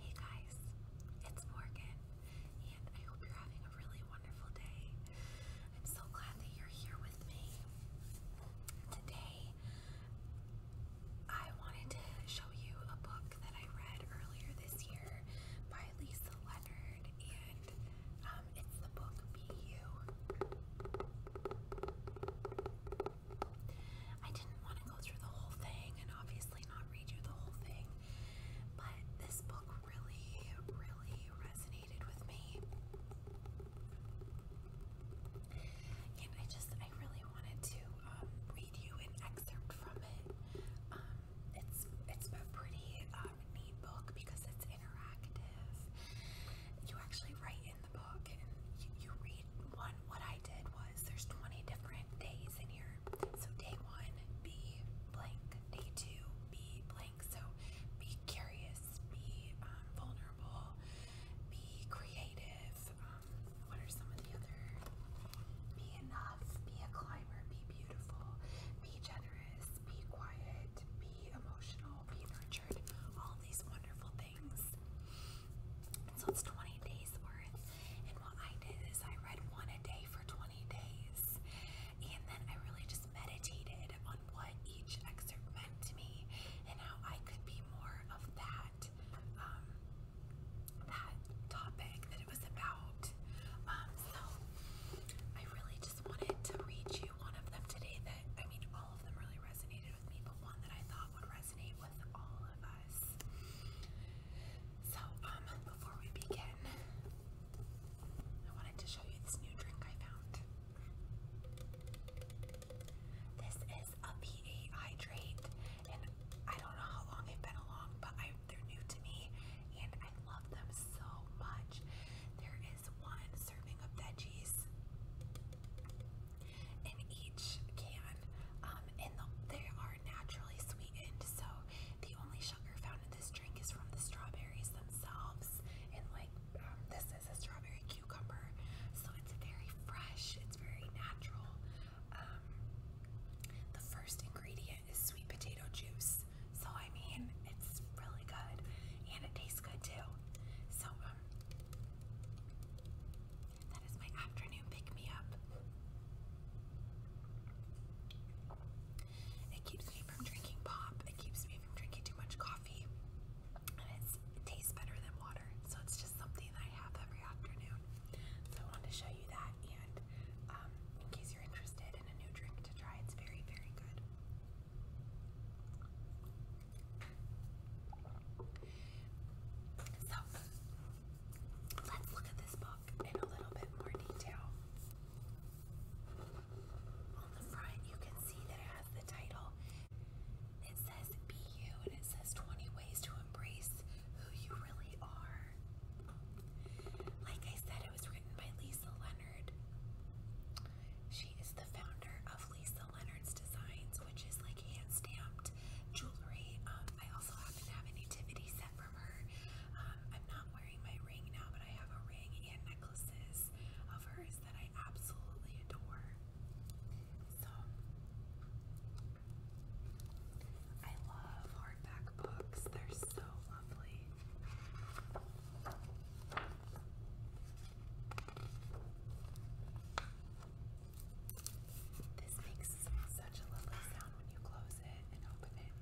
Hey guys, it's Morgan, and I hope you're having a really wonderful day. I'm so glad that you're here with me. Today, I wanted to show you a book that I read earlier this year by Lisa Leonard, and um, it's the book Be You. I didn't want to go through the whole thing and obviously not read you the whole thing, but this book really, really resonated with me. And I just, I really wanted to um, read you an excerpt from it. Um, it's, it's a pretty um, neat book because it's interactive. You actually write in you, read one. What I did was there's 20 different days in here. So day one, be blank. Day two, be blank. So be curious, be um, vulnerable, be creative. Um, what are some of the other? Be enough, be a climber, be beautiful, be generous, be quiet, be emotional, be nurturing all these wonderful things. And so it's 20 days worth. And what I did is I read one a day for 20 days. And then I really just meditated on what each excerpt meant to me and how I could be more of that um, that topic that it was about. Um, so I really just wanted to read you one of them today that I mean all of them really resonated I um, before we begin, I wanted to show you this new drink I found. This is a PA hydrate, and I don't know how long they've been along, but they're new to me, and I love them so much. There is one serving of veggies in each can, um, and the, they are naturally sweetened, so the only sugar found in this drink is from the strawberries themselves. And like um, this is a strawberry cucumber, so it's very fresh, it's very natural. Um, the first ingredient is sweet potato juice, so I mean, it's really good and it tastes good too. So, um, that is my afternoon pick me up. It keeps me from drinking pop, it keeps me from drinking too much coffee, and it's, it tastes better than water. So, it's just something I have every afternoon. So, I wanted to show you that, and um, in case you're interested in a new drink to try, it's very, very good. So, let's look at this book in a little bit more detail. On the front, you can see that it has the title. It says Be You, and it says 20 Ways to Embrace Who You Really Are. Like I said, that it was written by Lisa Leonard. She is the founder of Lisa Leonard's Designs, which is like hand stamped jewelry. Um, I also happen to have a nativity set from her. Um, I'm not wearing my ring now, but I have a ring and necklaces of hers that I absolutely adore. So, I love hardback books, they're so lovely. This makes such a lovely sound when you close it and open it.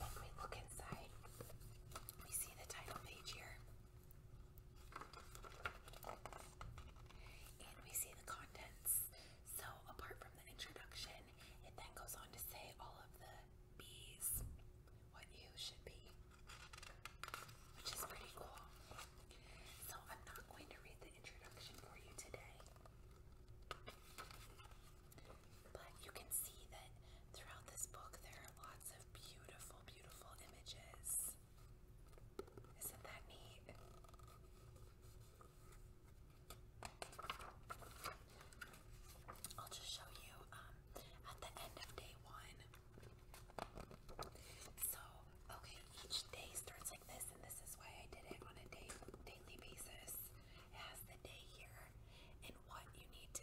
But then, we look inside, we see the title page here. And we see the contents. So, apart from the introduction, it then goes on to say all of the bees, what you should be, which is pretty cool. So, I'm not going to read the introduction for you today. But you can see that throughout this book there are lots of beautiful, beautiful images. Isn't that neat? I'll just show you um, at the end of day one. So, okay, each day starts like this, and this is why I did it on a daily basis. It has the day here and what you need to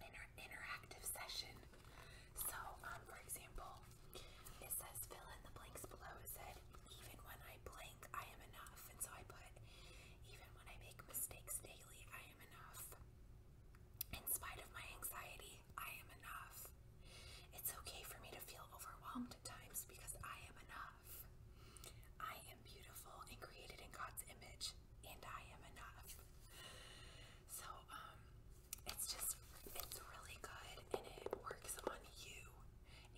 inter interactive session. So, um, for example, it says fill in the blanks below. It said, even when I blank, I am enough. And so I put, even when I make mistakes daily, I am enough. In spite of my anxiety, I am enough. It's okay for me to feel overwhelmed at times because I am enough. I am beautiful and created in God's image, and I am enough. So, um, it's just, it's really good and it works on you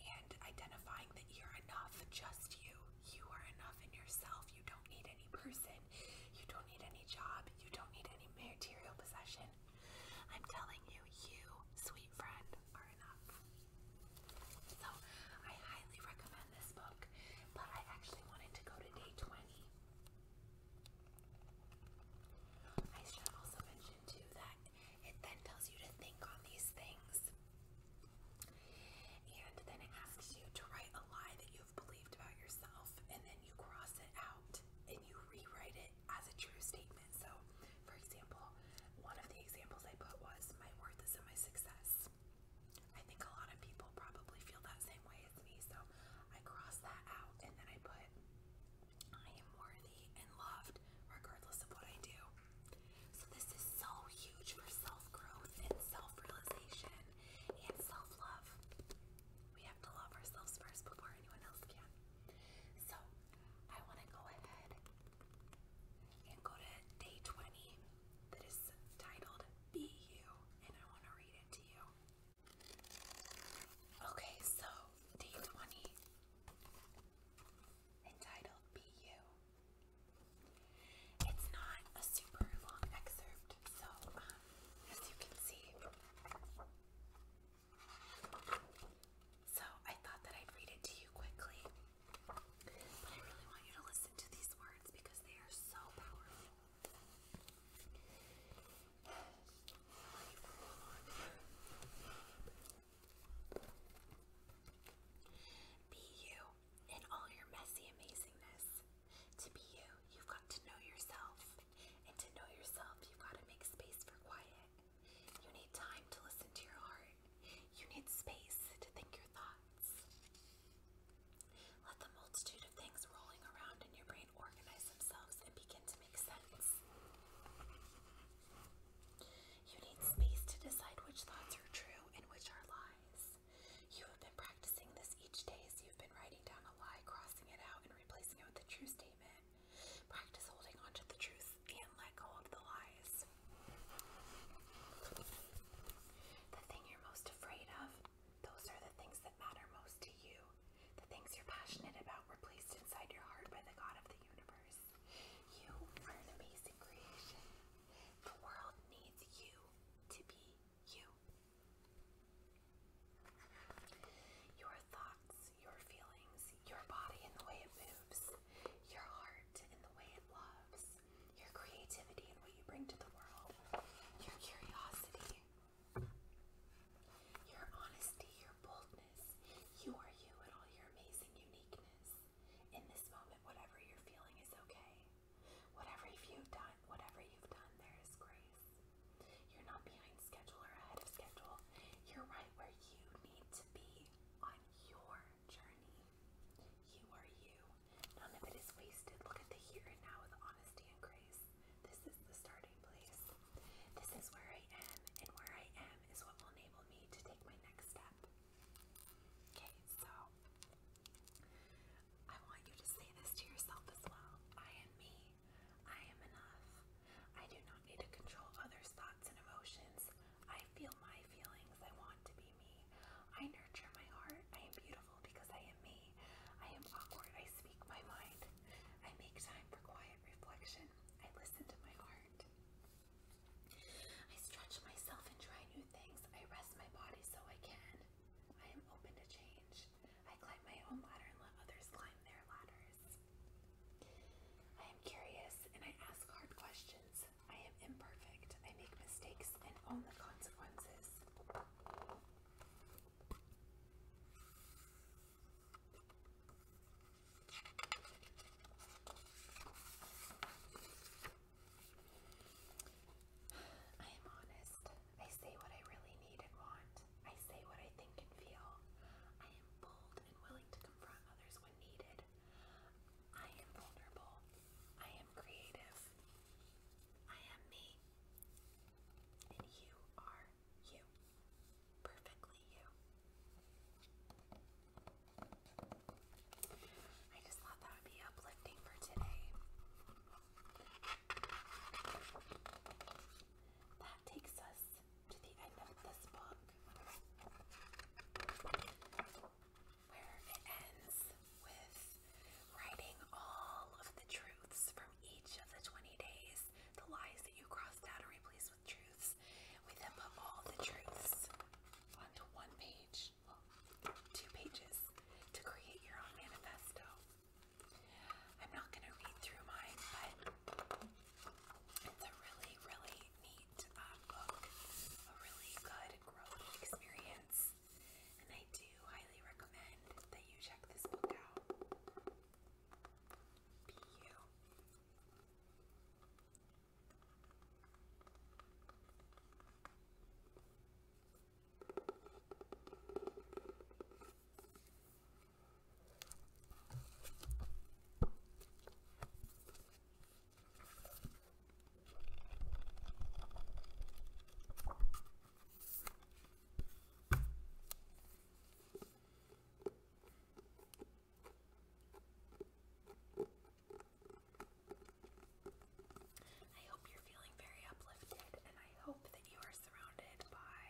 and identifying that you're enough, just you. You are enough in yourself. You don't need any person. You don't need any job. You don't need any material possession. I'm telling you, you, sweet friend, are enough. So I highly recommend this book, but I actually wanted to go to day 20. I should also mention too that it then tells you to think on these things. And then it asks you to write a lie that you've believed about yourself, and then you cross it out and you rewrite it as a true statement. So, for example, one of the examples I put was, My worth is in my success. I think a lot of people probably feel that same way as me, so I cross that out and then I put I am worthy and loved regardless of what I do. So this is so huge for self-growth and self-realization and self-love. We have to love ourselves first before anyone else can. So I want to go ahead and go to day 20 that is titled Be You and I want to read into you. Okay, so day 20, entitled Be You. It's not a super long excerpt, so um, as you can see, so I thought that I'd read it to you quickly, but I really want you to listen to these words because they are so powerful. Be you in all your messy amazingness. To be you, you've got to know yourself. And to know yourself, you've got to make space for quiet. You need time to listen to your heart. You need space to think your thoughts. Let the multitude of things rolling around in your brain organize themselves and begin to make sense. You need space to decide which thoughts are true and which are lies. You have been practicing this each day as you've been writing down a lie, crossing it out, and replacing it with a true statement. Practice holding on the truth and let go of the lies. The thing you're most afraid of, those are the things that matter most to you. The things you're passionate about were placed inside your heart by the God of the universe. You are an amazing creation. The world needs you to be you. Your thoughts, your feelings, your body and the way it moves, your heart and the way it loves, your creativity and what you bring to the world, your curiosity, your honesty, your boldness. You are you and all your amazing uniqueness. In this moment, whatever you're feeling is okay. Whatever you've done, whatever you've done, there is grace. You're not behind schedule or ahead of schedule. You're right where you need to be on your journey. You are you. None of it is wasted. Look at the here and now with honesty and grace. This is the starting place. This is where I am, and where I am is what will enable me to take my next step. Okay, so I want you to say this to yourself as well. I am me. I am enough. I do not need to control others' and emotions. I feel my feelings. I want to be me. I nurture my heart. I am beautiful because I am me. I am awkward. I speak my mind. I make time for quiet reflection. I listen to my heart. I stretch myself and try new things. I rest my body so I can. I am open to change. I climb my own ladder and let others climb their ladders. I am curious and I ask hard questions. I am imperfect. I make mistakes and own the consequences. I am honest. I say what I really need and want. I say what I think and feel. I am bold and willing to confront others when needed good. I am vulnerable. I am creative. I am me. And you are you. Perfectly you. I just thought that would be uplifting for today. That takes us to the end of this book where it ends with writing all of the truths from each of the 20 days, the lies that you crossed out are replaced with truths. We then put all the truths onto one page, two pages, to create your own manifesto. I'm not going to read through mine, but it's a really, really neat uh, book, a really good growth experience, and I do highly recommend that you check this book out. Be you. I hope you're feeling very uplifted, and I hope that you are surrounded by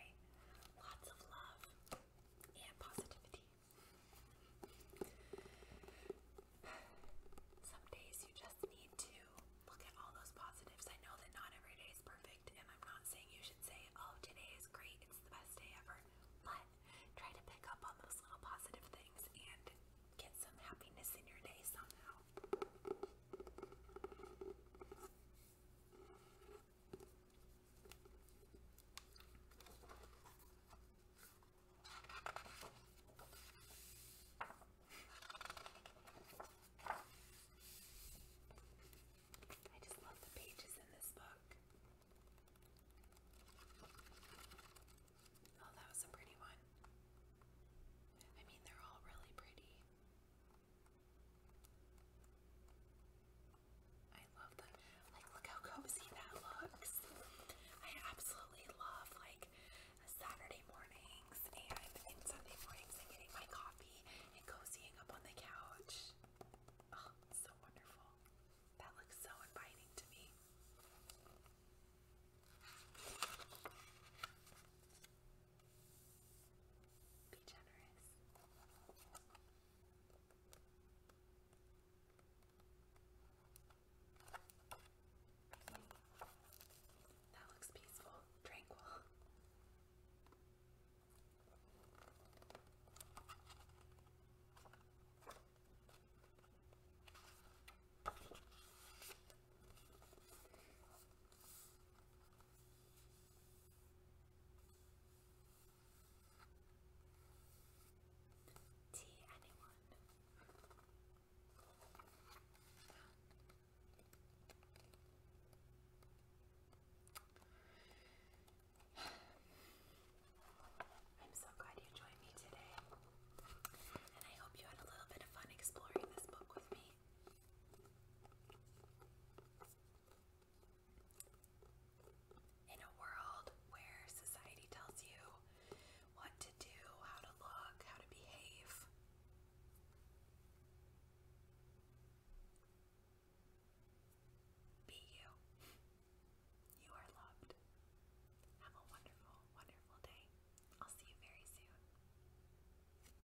lots of love and positivity. Some days you just need to look at all those positives. I know that not every day is perfect, and I'm not saying you should say, oh, today is great, it's the best day ever. But try to pick up on those little positive things and get some happiness in your day somehow. I just love the pages in this book. Oh, that was a pretty one. I mean, they're all really pretty. I love that. Like, look how cozy that looks. I absolutely love, like, Saturday mornings and Sunday mornings and getting my coffee and cozying up on the couch. Oh, so wonderful. That looks so inviting to me. Be generous. That looks peaceful, tranquil. T anyone. I'm so glad you joined me today, and I hope you had a little bit of fun exploring this book with me. In a world where society tells you what to do, how to look, how to behave, be you. You are loved. Have a wonderful, wonderful day. I'll see you very soon.